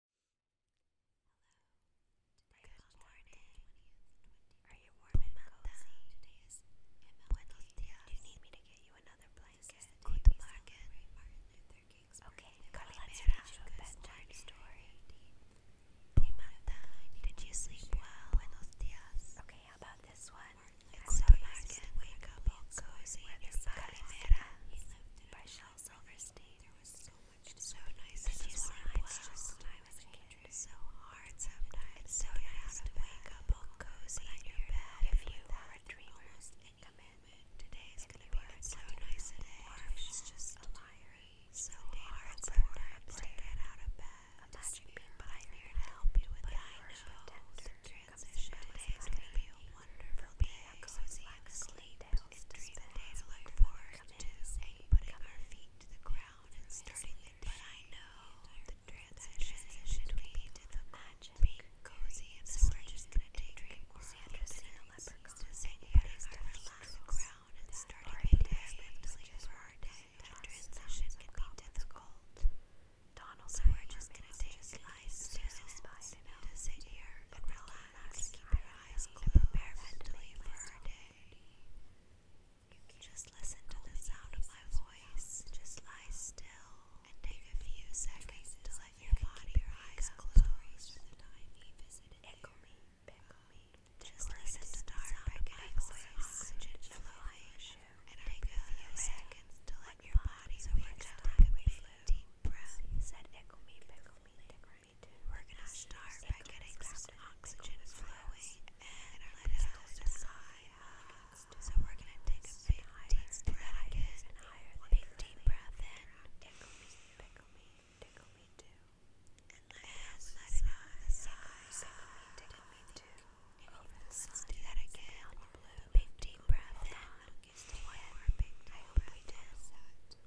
Hello. Good morning. Are you warm and cozy? Buenos dias. Do you need me to get you another blanket? Go to Okay, Carla, let's finish a bedtime story. Pumanta, did you sleep well? Okay, how about this one? It's so nice to wake up cozy and Calimera by Shel Silverstein much. It's so nice. This, this is why I was just when I was a kid. It's so hard sometimes. It's so nice to wake up all cozy in your bed. If you are a dreamer, and come in. Today is gonna be so nice today. Or if it's just a liar. So hard sometimes to get out of bed. Imagine being but I'm here to help you with that. I know the transition today is gonna be a wonderful day. Cozy and sleep else to spend days look forward to, putting our feet to the ground and starting the day. But I know the transition should lead to the magic, being cozy, and so we're just gonna take a world of things to say, putting our feet to the ground and starting the day mentally for our day. That transition can be difficult. Donald so we're just gonna take a slice to sit here and relax to keep her eyes open mentally for her day. just listen to the sound of my voice. Just lie still and take a few seconds to let your body, your eyes closed. Echo me, echo me. Just listen to the sound of my voice. Just lie and take a few seconds to let your body, your eyes closed. echo me, echo me me to. We're gonna start by getting some oxygen flowing and let it out So we're gonna take a big deep breath again. Big deep breath in. Tickle me, tickle me, tickle me too. And let it out do that again. Big deep breath in. One more big deep breath in.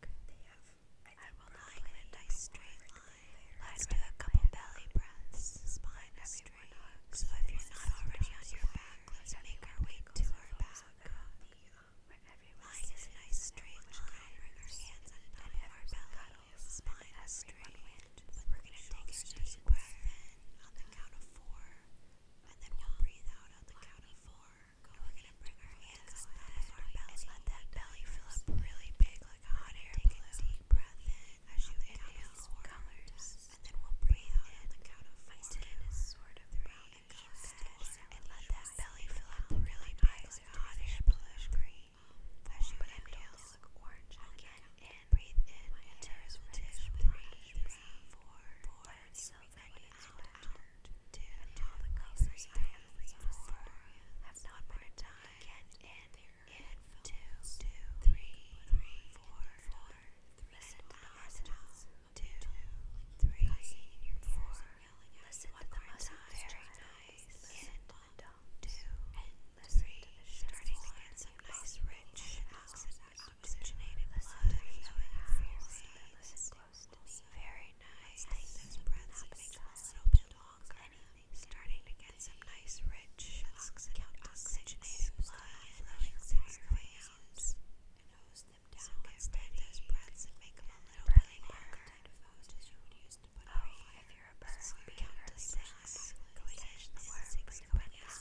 back. I, will not get a nice straight line. Let's do a couple belly breaths, spine straight. So if you're not already on your back, let's make our way to our back. Um, line is a nice straight Bring our hands on top of our belly, spine straight. We're going to take a deep breath in on the count of four, and then we'll um, breathe out on the count of four, we bring our hands down our belly and let that belly fill up really big like a hot air balloon. Take a deep breath in as you inhale colors, and then we'll breathe out the count of four. and let that belly fill up really big like a hot air bluish green. As you inhale, look orange again. And breathe in until it's reddish orange. Four, four, and so many the colors are have not more time. Get in, in, two, two, three, three, four, four. Listen to the hostiles. Listen Very nice. In, two, and three. Starting to nice, rich, oxygenated blood flowing Listen Very nice. Take those breaths and make them a songs, starting to get some nice rich, oxygenated blood flowing through your veins. And hose them down. So let those breaths and make them a little bit longer. Oh, if you're a bird, to six. Go catch the worm, bring it out.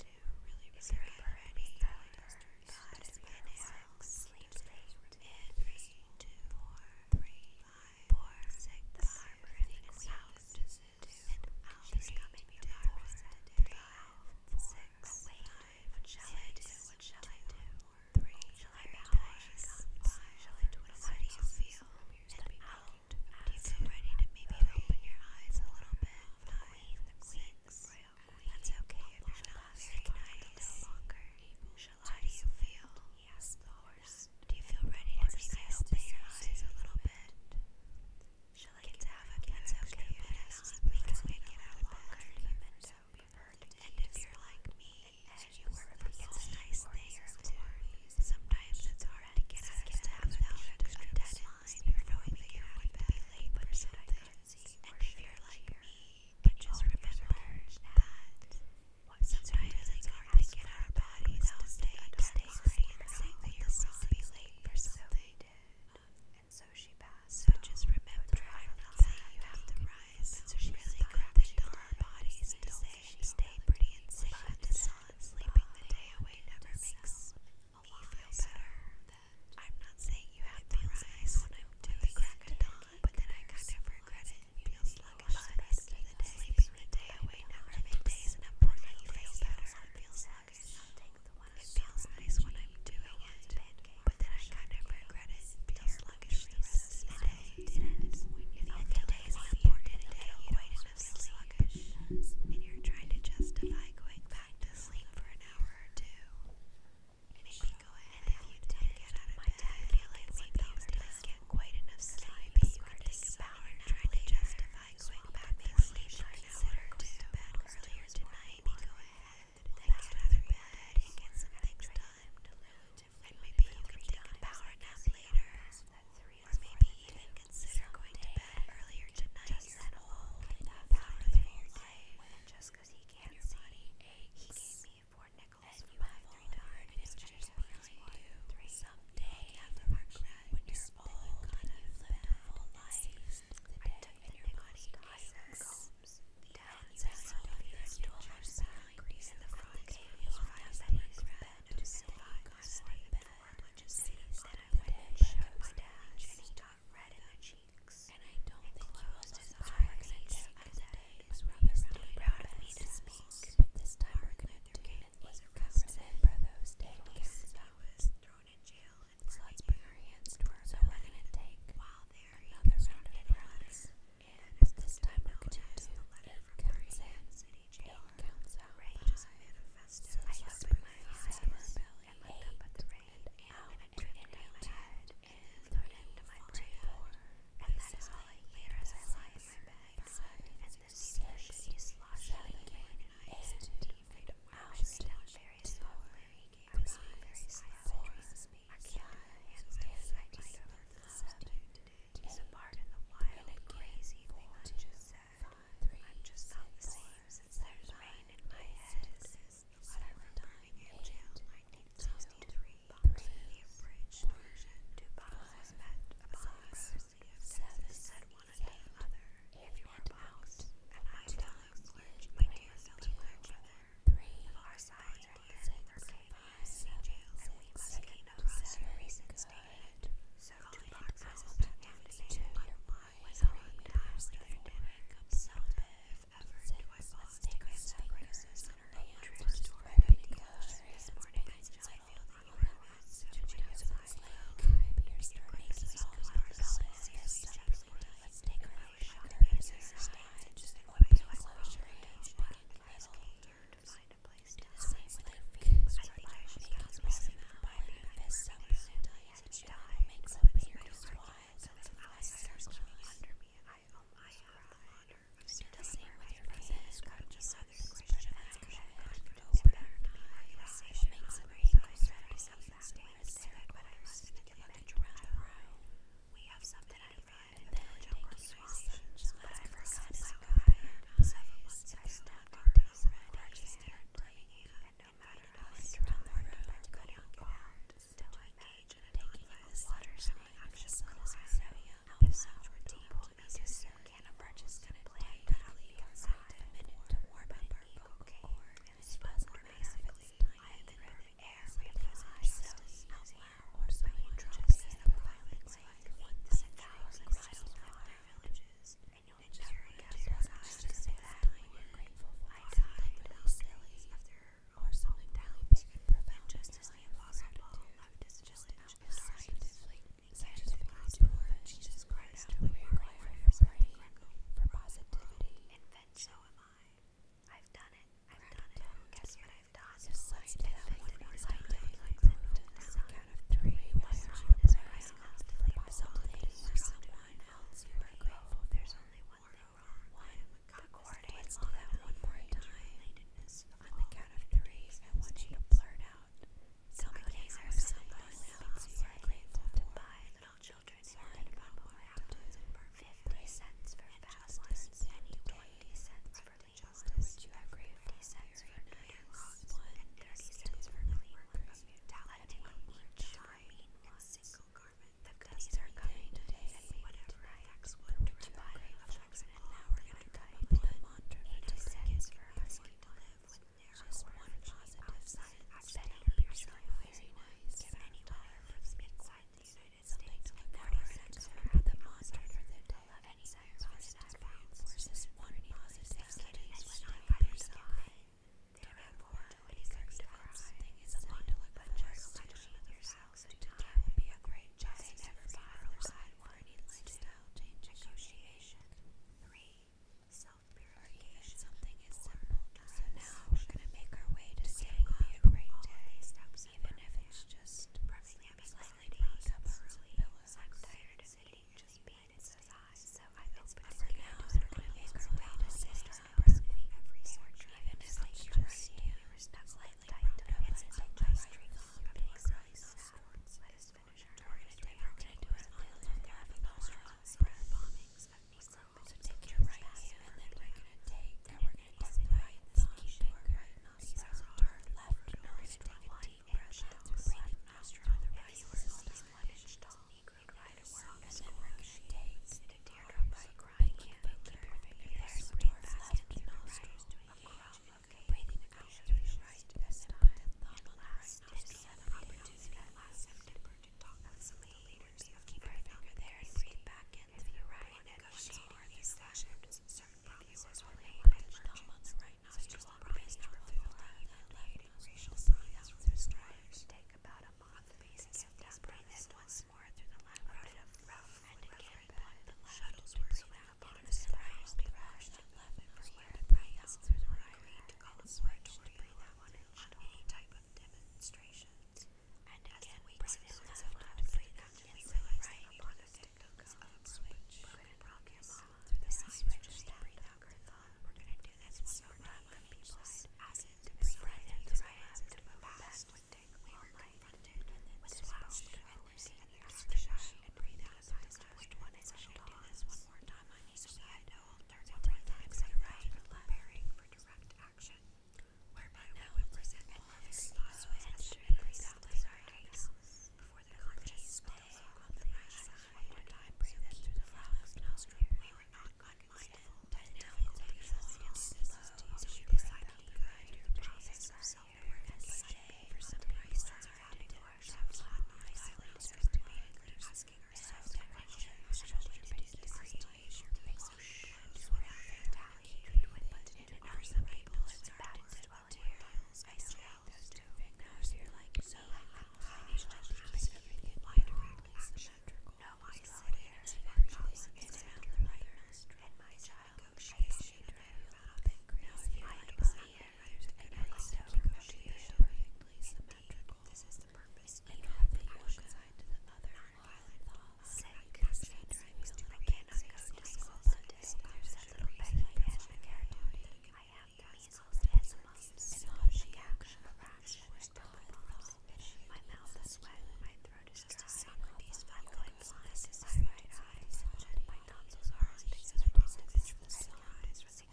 Two, if you're a bird, But if you're five, four, six, the farmer in the coming the farmer what shall I do, what shall I do, three, shall I bow, shall I do it, how do you feel, and out, do you ready to maybe open your eyes a little bit, five, six, that's okay if you he um, Do you feel ready to see kind open your eyes a little bit? Shall I get to have a cat's okay if it is? We can make it out longer if you're like me, and you work for it's a nice thing or sometimes it's hard to get out of staff without a dead line knowing that you're be late for something. if you're like me, but just remember that what sometimes it's hard to get our bodies to stay stay and think that you're to be late for something. And so she passed. So just remember, i you have to rise. So she really grabbed on our bodies to stay pretty and safe in the sun. Sleeping the day away never makes me feel better. I'm not saying you have to rise when I'm to the crack of but then I kind of regret it and sluggish the rest of the Sleeping the day away never made days an important you feel better. I sluggish. It feels nice when I'm doing it, but then I kind of regret it and sluggish the rest of the day. If the day is an important day, you don't want to feel sluggish, and you're trying to justify going back to sleep for an hour or two go ahead and if you do get out of my bed, feel like sometimes does get quite enough sleep. You can take a power to justify going back to sleep or an to bed earlier tonight. Go ahead and get out bed and get some things done. And maybe you can take a power nap later, or maybe even consider going to bed earlier tonight. That whole just because he can't see, he gave me four nickels for my three dollar distress three someday after my when you're old and you've lived a full life. I took the nickels combs down south of the stool or side and the frog gave me five pennies bed to survive on the bed. Then I went and showed my dad and he got red in the cheeks. And I don't think he was as high as I did ladies were rather proud of me to speak, but this time our commander Caden was arrested for those days. was thrown in jail and so let's hands to our so we while there another round of applause. but this time we're going to do it counts in, it counts out outrageous manifesto. I opened my eyes and looked up at the rain and out and turned my head and looked into my brain and that is all I hear as I lie in my bed, and this sleepy and I and I'll down very slowly, I'm being very slow, I can't do the handstand I just learned today, it's a part of the wild, crazy thing I just said, I'm just not the same there's rain in my head, this is the letter in jail boxes in the abridged version, two boxes met a box seven, said one unto the other, If you are boxed, and I fellow clergy, my dear fellow clergyman, if our sides are thin, there came sea jails, and we must gain of us your recent statement. So two boxes of contaminated one was on, times to their dinner, so if ever do I pause to answer criticism, in her hands story this morning. Since I feel that you have so much outside, maybe you're starting to solve our balance. Let's take her out shopping. Just open my closure and picking little to find a place to same with her feet. some by me this summer. some eyes I, um, I have the honor of serving the same with your presence. Just other question that's correct. Open our eyes. I but I must admit that I've read in the jungle swash, I forgot to go there. Several and no matter how much around the I could not get out, still I made and in the water, so my anxious clothes are so out or deep to me to soon can emerges to play badly outside a minute to warm up our cord and swell more basically high than the air we fly so out loud or so you drop in a violence like one thousand miles from their villages and you'll never guess what I was to say we're grateful for I died the most silly of their or something down and prevent just as the impossible left is just out scientifically, scientifically proven. Jesus Christ, we require for brain, for positivity. Invention. So am I. I've done it. I've done it. Guess what I've done? This scientific and scientific count of three. Why aren't you praying constantly for something or someone else you are There's only one wrong. One. According to that one more time kindness. On the count of three, I want you to blurt out. Tell me what is there someone you are grateful to buy little children sorry about what happened. Fifty cents for fast twenty cents for late you have fifty cents for nine ones, and cents for clean ones. Letting each charming single garment. The goodies are coming today, whatever affects one buy Jackson, and now we're going to type in the mantra for two seconds for asking to live with just one positive side outside of yourself. Very nice. Give any power from inside the United States. And now we're going to cover the mantra for the day. Any side positive reinforces one positive side outside of yourself. Therefore, 26 different things is a mandala, but just to your side thousand times would be a great job. They never bought or side one. Lifestyle change negotiation. Three. Self-purification. Something is simple. So now we're gonna make our way to saying be a great day, even if it's just perfectly slightly covers pillows. I'm tired of eating just beans as I so I opened it now. We're gonna make our way to saying perfectly every sort, even if it's just you. Slightly rounded up, it's a nice drink. Big rice sounds. Let us finish our target attack. We're going to do an island of Galapagos breath bombings of Negroes. So take your right hand, and then we're going to take, and we're going to take the right thumb, keeping right nostril turned left. We're going to take a deep breath out through left nostril. If you are still one inch tall, right away, and then we're going to take a teardrop by grind. Keep your finger there, so breathe fast into the nostril. Across Okay, breathing out through your right nostril and last just an opportunity last September to talk with some of the leaders of Keep Our Finger There and breathe back in through your right negotiating these sessions. Certain promises were made and merged on the right nostril and promised to reveal the left racial signs through strivers. Take about a month the basis of these breathe in once more through the left round and again block the left shuttleswords around upon his brows they rushed and left him for you to pray through the agreed to call a sweatorial any type of demonstrations. And again, we presented the love to free them and realized that upon the thick hooks of a switch, broken promise, through the side switches to breathe out their thought, we're going to do this one more time on people's as it to breathe in, to rise, to move fast, with take all night, and then to swallow, and we're seeing you are shy and breathe out the last one. Is I do this one more time on each side. Hold 33 times in a row, preparing for direct action. Whereby we present all of the thoughts as we breathe out the right before the conscious spills One more time, breathe through the left nostril. We were not unmindful, but be fully in this. So we decide to for some reasons are having to workshops on my island to be asking ourselves that question to do this installation makes us shoes without fatality treatment, but for some people it's hard to dwell here. I still those two fingers here like so financial education everything wide directly symmetrical. No, I sit here and actually is around the right and my job negotiation rather crazy and so perfectly symmetrical. This is the purpose of having one side to the other Sick, I cannot go to school There's a little bit I have the measles and mumps and all the action of rash. My mouth is wet, my throat is dry. These fun going this is his right eye, surgeon by tonsils are as big as bronze, which was signed as 16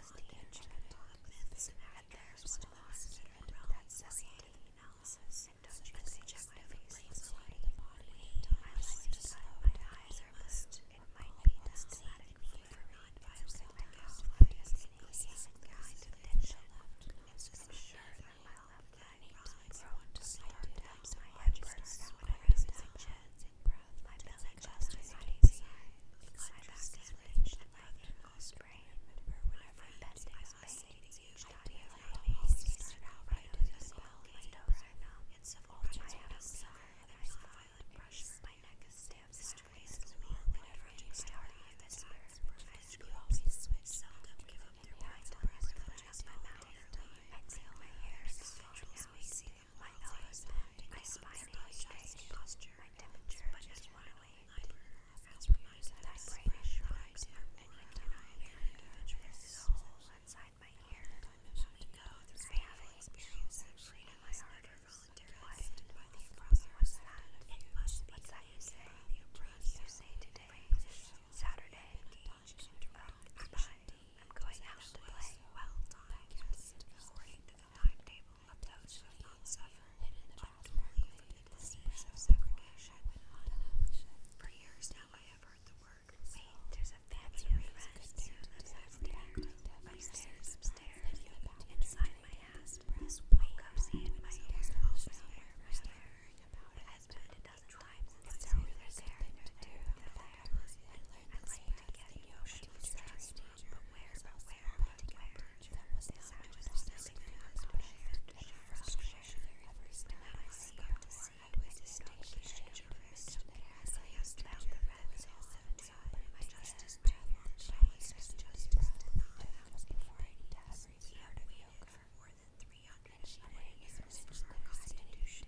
chicken myths, and theirs was lost in a realm that separated analysis and judgment subjective planes alike. My life just my eyes are missed. It might be systematic for not violating my house, but as an easy guide to the tension left. It's just sure that my left eye is prone to slight taps, my head bursts out when I raise my chin cleansing breath my belly just my body side. My back is rich and my ankles sprain. Whenever my bed is made, I feel like I always start out by doing the small windows are numb. It's of all my abs are. There's violent pressure. My neck is stiff. This trace is long. Whenever I start my best breath, you always switch. Seldom give up their mind to breath. Clenches my mouth. I feel my hair. It controls me. See my elbows my spine is straight, my temperature is runaway. As brain shrugs, and I cannot hear soul inside my ear. I haven't experienced that freedom in my heart or voluntarily. What was that? What's that you say? You say today, Saturday, I'm going out to play well-timed according to the timetable of those who have not the disease of segregation. For years now I have heard the word, wait, there's a family of friends who lives upstairs, inside my house, wake up seeing my hair, all my hair, my tribes and there to do the fire. I like to get the ocean was trust, but where, where, where? That was the sound of the sticking up and frustration every I see I was distinguished and depressed. I asked the red soul inside, my justice breath, my justice breath, was before I knew every part of yoga. More than 300 and she didn't even mention the constitution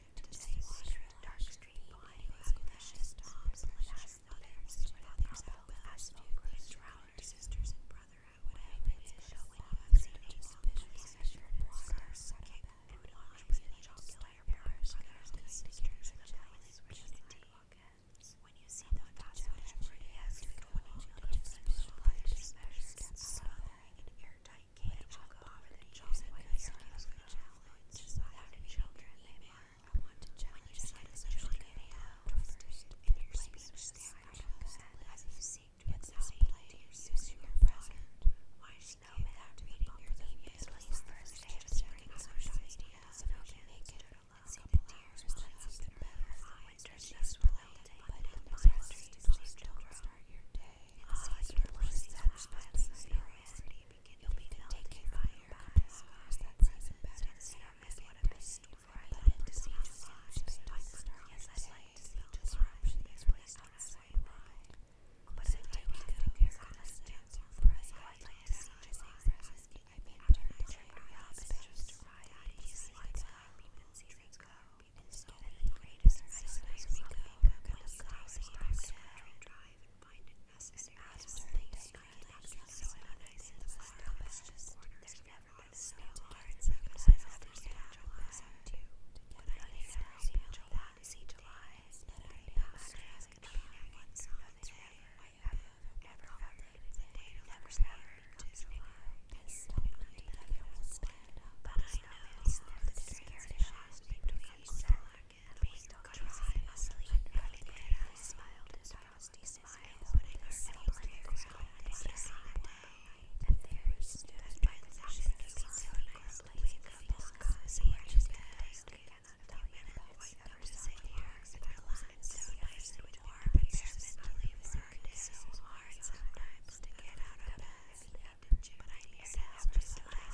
to the same water and dark stream behind you have precious tops and has others when others help us to drown our sisters and brother out whatever it is so when you have seen a special water sucking and watch with the chocolate brothers and sisters in the valleys where the sidewalk ends when you see the fast food everybody has to go on each other's special brothers and special steps so that an airtight came up over the chosen heroes who challenge without children they were. I want to challenge the children they are first in your speech standards as you seek to explain to your use your present. Why snow without reading your theme is was the first day of spring social media so we can make it alone. See the tears that have been better for winter she's related, but in the country, please don't start your day. It's easier to lose that responsibility begin you'll be melting by your scars that season better serum is what a best story I like to see just lives dark stars I like to see disruption is placed on us way wide but I do to figure out a stance on present I like to see just present I've been turned to reality pictures to ride out these lights I've been seasons go instead of the greatest ice as we go go to the stars and drive even find it necessary to sleep. I can actually so in the best There's never been so hard so good as I've ever seen too. But I need to feel July to see July. Nothing matter as could be that one solid day. I ever, never ever, the day to never never to July. This time I will stand up. But I know it's the security between July being dry asleep Valinera smiled his frosty smile, putting her elbows to the ground and kissing the day. And there he stood by the ocean, looking so nicely with a long cozy edge of the day. Cannot remember what ever said here, but her lines so nice and warm, and her mentally burned is so hard sometimes to get out of I knew that was just lie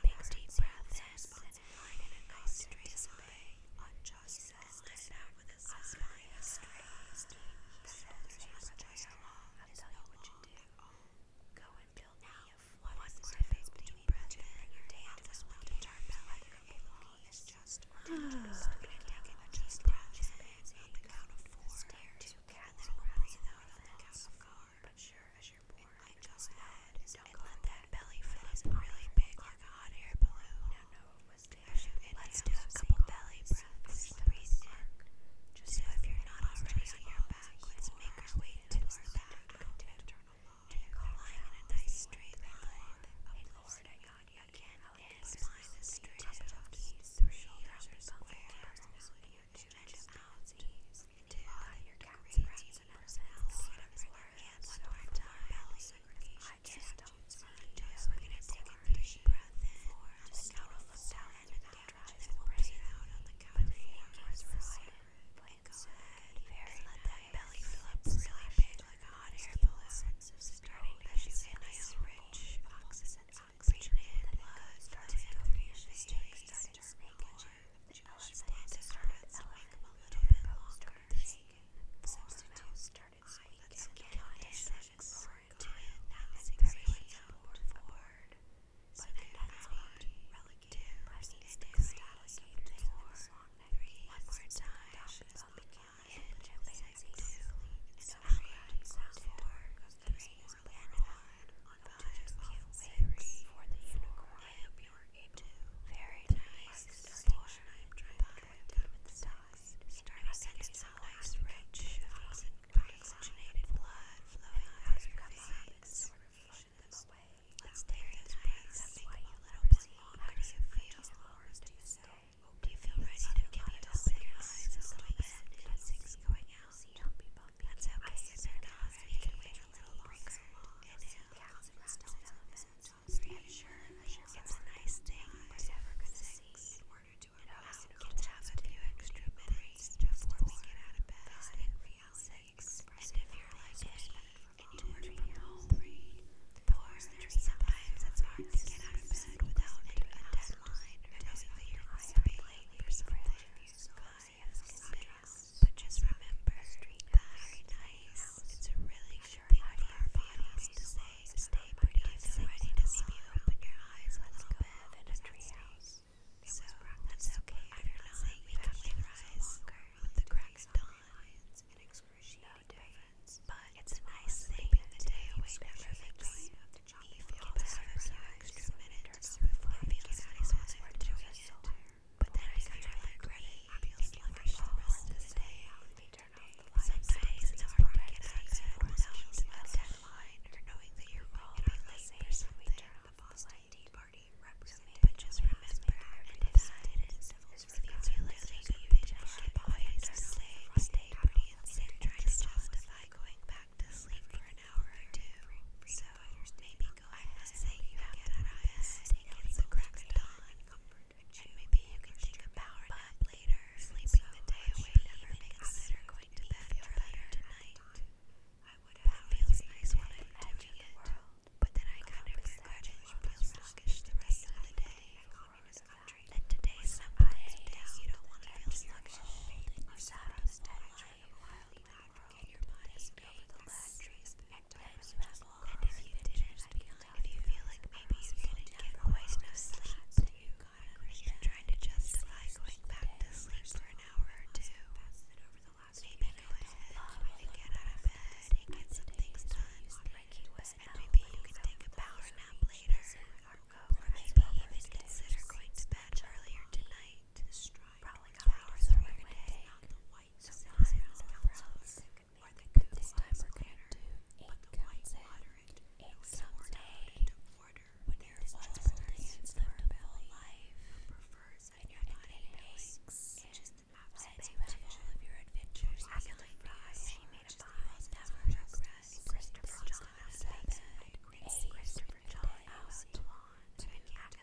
Big deep breath in a nice display on just stand out with a spine straight. I'll tell you what you do. Go and build me a what is the difference between breath in and day out this one to turn back and low is just to take a just breath in on the count of four to gather breath out of four but sure as you're born, I just had and let that belly flip really big like a hot air balloon. Let's do a couple belly breaths. so if you're not already on your back, let's make our way to our back. Take a lying straight line. Oh, oh, Lord, I got you again. And spine is straight. Through shoulders are you choose to outseas to your cat's friends and personality out of his hands one time I just don't see you. We're gonna take a deep breath in on the couch and then we'll breathe out on the couch and go ahead and let that belly fill up really big like a hot air balloon starting as you inhale rich oxygen oxygen blood starts to your face starting to make it she started swaying a little bit longer. Substitute started swaying forward. So then that's what relative pressing status of One more time. Two. And so she goes three. And one on very for the unicorn. You are into very nice I am trying to point down with the stars. Starting sending rich, oxygenated blood flowing out of veins. Let's take those breaths and make them a little bit longer. How do you Do you feel ready to give your eyes a little going out. That's okay, it's because we can wait a little longer. And it still doesn't I'm sure it's a nice thing, to see in order to allow us have a few extra minutes before we get out of bed. And if you're like it, it's hard to get out of bed without a deadline or knowing that you're going to be late for enthusiast but just remember, street very nice. It's really sure thing for our bodies stay pretty and feel ready to sleep. You open your eyes a little bit in a treehouse. So that's okay if you're we can rise with the crack of dawn. An excruciating difference, but it's a nice thing the day away never makes. You feel better for extra minutes before but then I kind of I feel like the rest of the day. Sometimes it's hard to get access without a deadline or knowing that you're going to be late for something. The Boston Party but just remember it is if you feel like maybe you just get by just stay, stay pretty and try to justify going back to sleep for an hour or two. maybe go I must say you get out of bed, it the crack of dawn, and maybe you can take a power nap later, sleeping the day away never makes it or going to bed feel better tonight. That feels nice when I'm it, but then I kind of forget it feels sluggish the rest of the day. And today's not the day you don't want to feel sluggish, or sad all night. Get you feel like maybe you didn't get enough sleep, you trying to justify going back to sleep for an hour or two. Maybe go ahead get out of bed and get some things done. And maybe you can take a power nap later. Or maybe even consider going to bed earlier tonight to Prowling up the white so signs of browns that could the good this time there is just dance for a belly, prefers and your body aches, and just you of your adventures. I can like prize. She made a pie, never Christopher John has seven, Christopher John out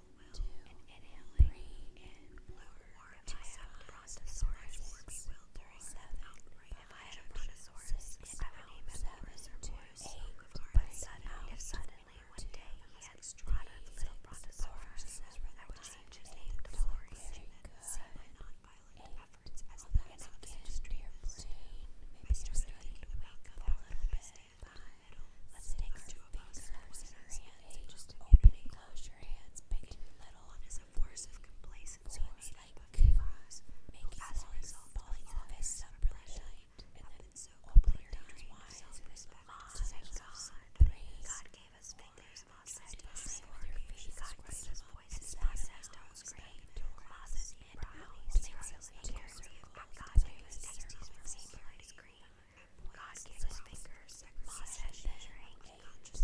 will, and inhaling, in if I have a brontosaurus, or we will during that If I had a brontosaurus, I would name him if suddenly one day had little brontosaurus, I would change his name to Boris. See my non-violent efforts as the end of the industry. I started thinking about that five. Let's take our fingers and just open and close your hands, big little. One a force of complacency like up of a result falling off his and then so open your hands God. gave us fingers, Moses said, God gave us voices, Moses don't scream. Moses and Brownies, they were silly God gave us tasties from Samuel's green. God gave us fingers, Moss and drink.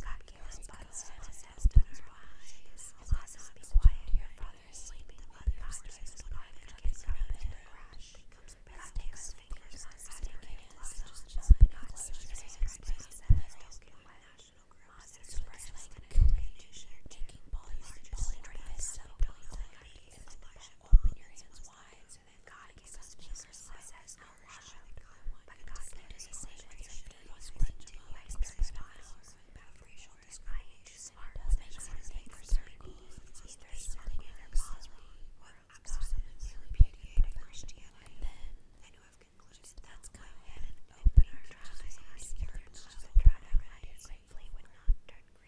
God gave us buds, Moss has done eyes. Moss has been quiet, your father is sleeping. God doctors is not even gets up crash. God takes fingers, Moss has taken Just not such a space that has taken my national group. Moss is expressing an Open your hands so then God gave us peace our lives as no But God gave us the same as the most plentiful by sparing miles. And I ain't just smart as makes sense for people. Either something in their paws or absolutely repudiated Christianity. Then, and who have concluded that's go ahead open our eyes, and our and try to remind you gratefully would not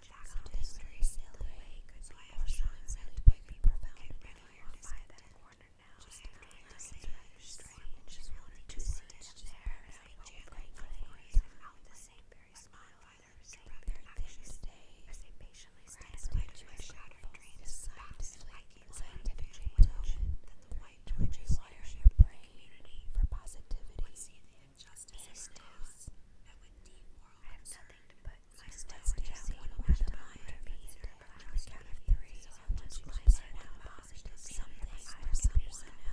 the fact that history sailed away could be overshone and would be profounded in awareness at that corner now. Just after the same strange to see it there as a jangling noise and out the same very smile by their brother actions as they patiently stand by to their shattered dreams, facts, liking scientific change, that the white twitches wire your brain for positivity injustice of this, and I have nothing to put my stones down one at a time to be on the count of three, so I want you to set out positive something or someone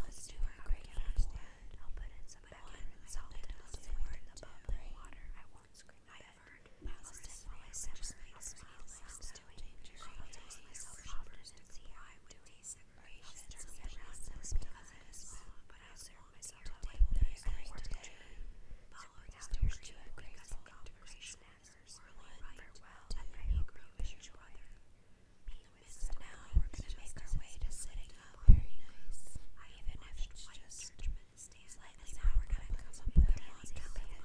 else to understand. I'll put in some background solid elsewhere in the bubbling water. I won't scream. I have heard thousands while I separate small sounds to danger. I'll tell myself often and see how I would taste I'll turn around because it is small, but I serve myself to take these things to the gym, following out your student grateful conversation snackers, whirling farewell to your angry wishes brother. In the midst of now, we're going to make our way to sitting up very nice, even if it's just slightly now we're going to come up with a long campaign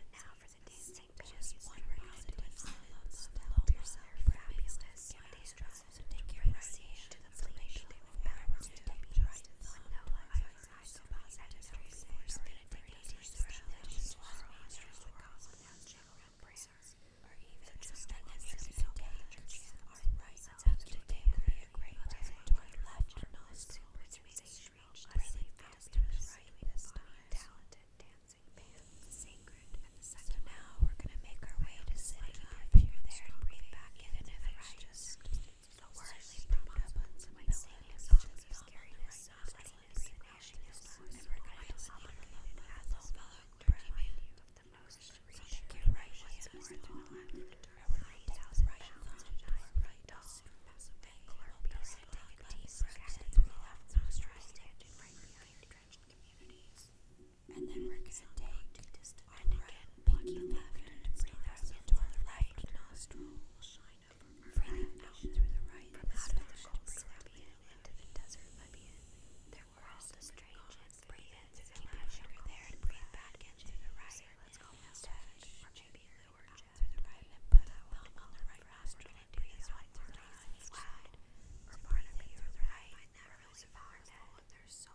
and now for the tasting, just one round of love, love yourself, fabulous, and these so take your siege to the fleet to the balance to take the right when no life I so positive force that dignity surrounds sorrows from the cause without general prayers, or even just an incident of danger are right up to day be a great present toward left and all superstition reached really fast to the right with this time talented dancing band, sacred so now we're going to make our way to sitting up here, there, breathe back in and if right. Just so worriedly propped up on some pillows, all this scariness, so lettiness, and ashiness, and we're going to obligate you the most reassuring right hand more to the the left right behind and then we're gonna take our right pinky left and into our right nostril. Breathing out through the right nostril. Breathe out into the desert Libyan. There there breathe back in the right. Let's go mustache. Or the right put a thumb on the right nostril and do this the left side. Or part through the right. Find that really powerful.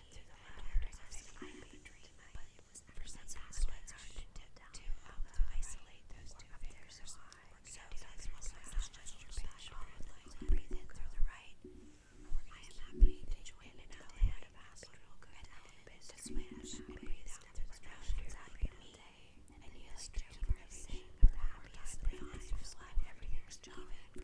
and through the louder as I made tonight, but for some reason I started to isolate those two fingers so So that's what my massage gesture like. Breathe in through the right. I am happy to join in out the head of astral good and to switch and breathe out through the nostrils after me. And heal straight from everything of the happiest things for life. Everything's job and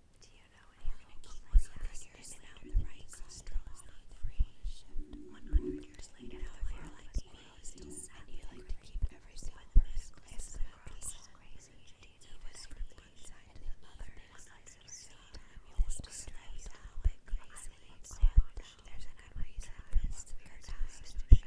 Do you know when you're going to keep one hundred years later, the right cholesterol is not free? One hundred years later, the like TV is still sad. You like to keep every single person is crazy. Do you know what from one side to the other? One hundred years later, you will just lay down like crazy. There's a good reason for this. Your time to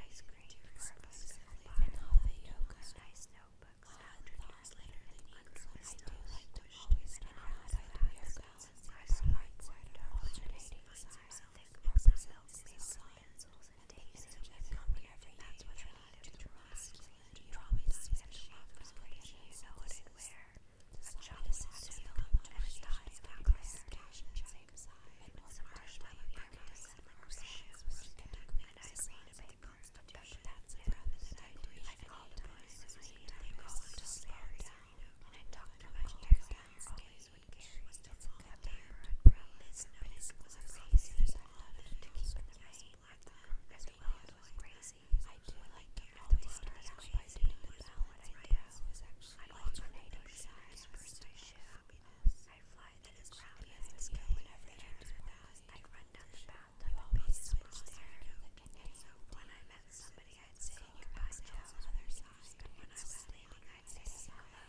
ice cream for a bicycle and all the yoga. Nice notebook. Foxed after years later, the uncovered stones pushed his around by the haircuts and price points and alternating size thick rubber silks, sandals, and daisies that come every day. That's what I needed to draw masculine. You always said she was pretty, you know what I'd wear. A chalice and silk, and a tie necklace, cash and same size, and was a marshmallow earrings, and rubber shoes, and I made a the Constitution. That's a brother that I do. I call the police and they call to slow down. And I talk to my parents. Always would care. Was to fall down. Listen, but it's was crazy. There's a lot of to keep in the rain. As the world was crazy. I do like to know the stars by doing the balance. My house was actually alternating sides. First I show happiness. I fly to the ground as the skill whenever I turn past. I run down the path you always switch there. And so when I met somebody, I'd say goodbye to the other side. And when I was leaving, I'd say hello.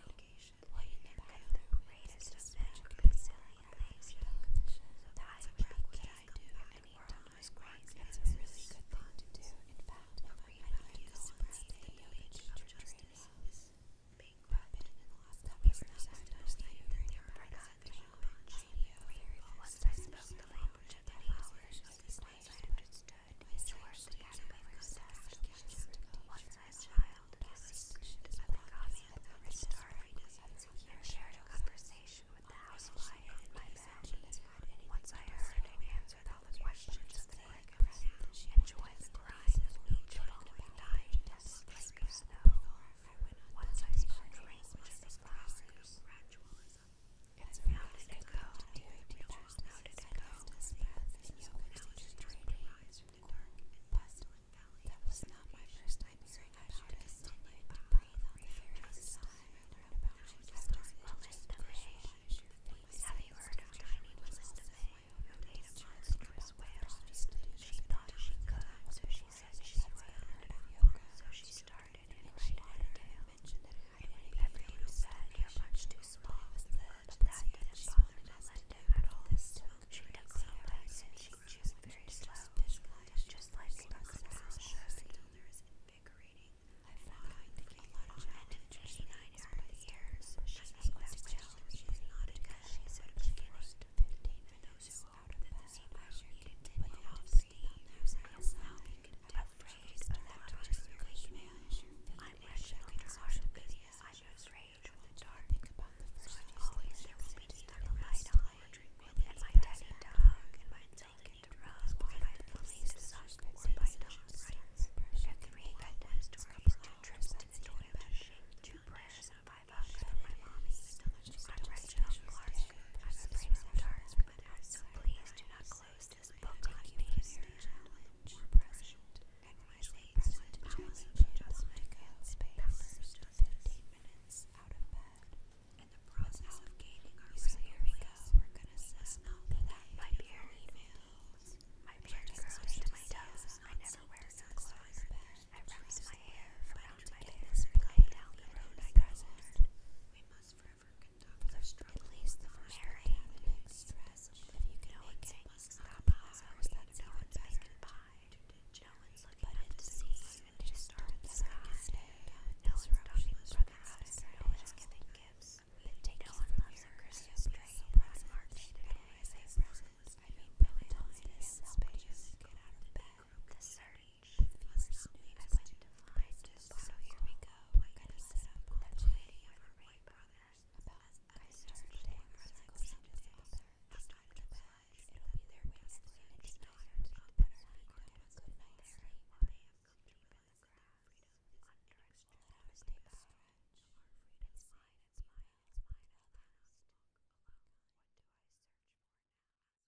Well, you never got the greatest of magic and silly things. That's a trick that I do anytime I squat. It's a really good thing to do. In fact, every time you spread the image of justice, being rubbed in the last couple of years, I've noticed that you're very said the language. Once I spoke the language of the flowers of the place I understood, his words began to be possessed. Once I smiled, the secret of the common of the story, and shared a conversation with the housefly in my bed. Once I heard and answered all the questions of the crickets, and joined the cries of each following night as the flake of snow. Once I started language of flowers, gradualism. It's how did it go? How did it go? Now it's trading. Bustling valley. That was not my first time hearing about it. Continued to breathe on the very side. Have you heard of Tiny Melissa May, who made a monstrous whale? She thought she could, so she says she's really heard of yoga, so she started and she wanted to mention that everyone who said you're much too small was that that didn't bother Melinda at all. She took little bites and she chewed very slow, just like Lucas shows there's invigorating. I've not going to get a lot of attention nine years years. She's not a good she's a forced 15 for those who out of bed. Usher continued I wish I the video. I'm always there the light and my daddy dog, and my delicate rose, and my police suspects, and my dogs. Every witness to our two trips to the toilet, two prayers five out from my mommy. I'm right now I'm afraid of the dark, but I'm so do not close this book on me. More present. And when I say present, I was just my good space. Fifteen minutes out of bed. In the process of gaining our so here we go. We're going oh, I never wear socks I wrapped my hair around my and going down the road I crossed. We must forever conduct our struggle. least the first If you can it, must stop ours. That's no one's making pie. No one's looking up to sea and to start the sky. No one's talking brothers and sisters. No one's giving No one loves a Christmas tree. So it's March presents. I mean, really, time is space. Get out of bed. The 30th. Feast night I went to find so here we go. We're gonna set up a lady of her white brothers about I started today our cycles of the other. Just out of the bed. It'll be their way to sleep and just tired of better feet and a good night's sleep. They have come to live in the ground. Under a stretch. Let us take a stretch. It's mine, it's mine, it's mine. At last. What do I search for now?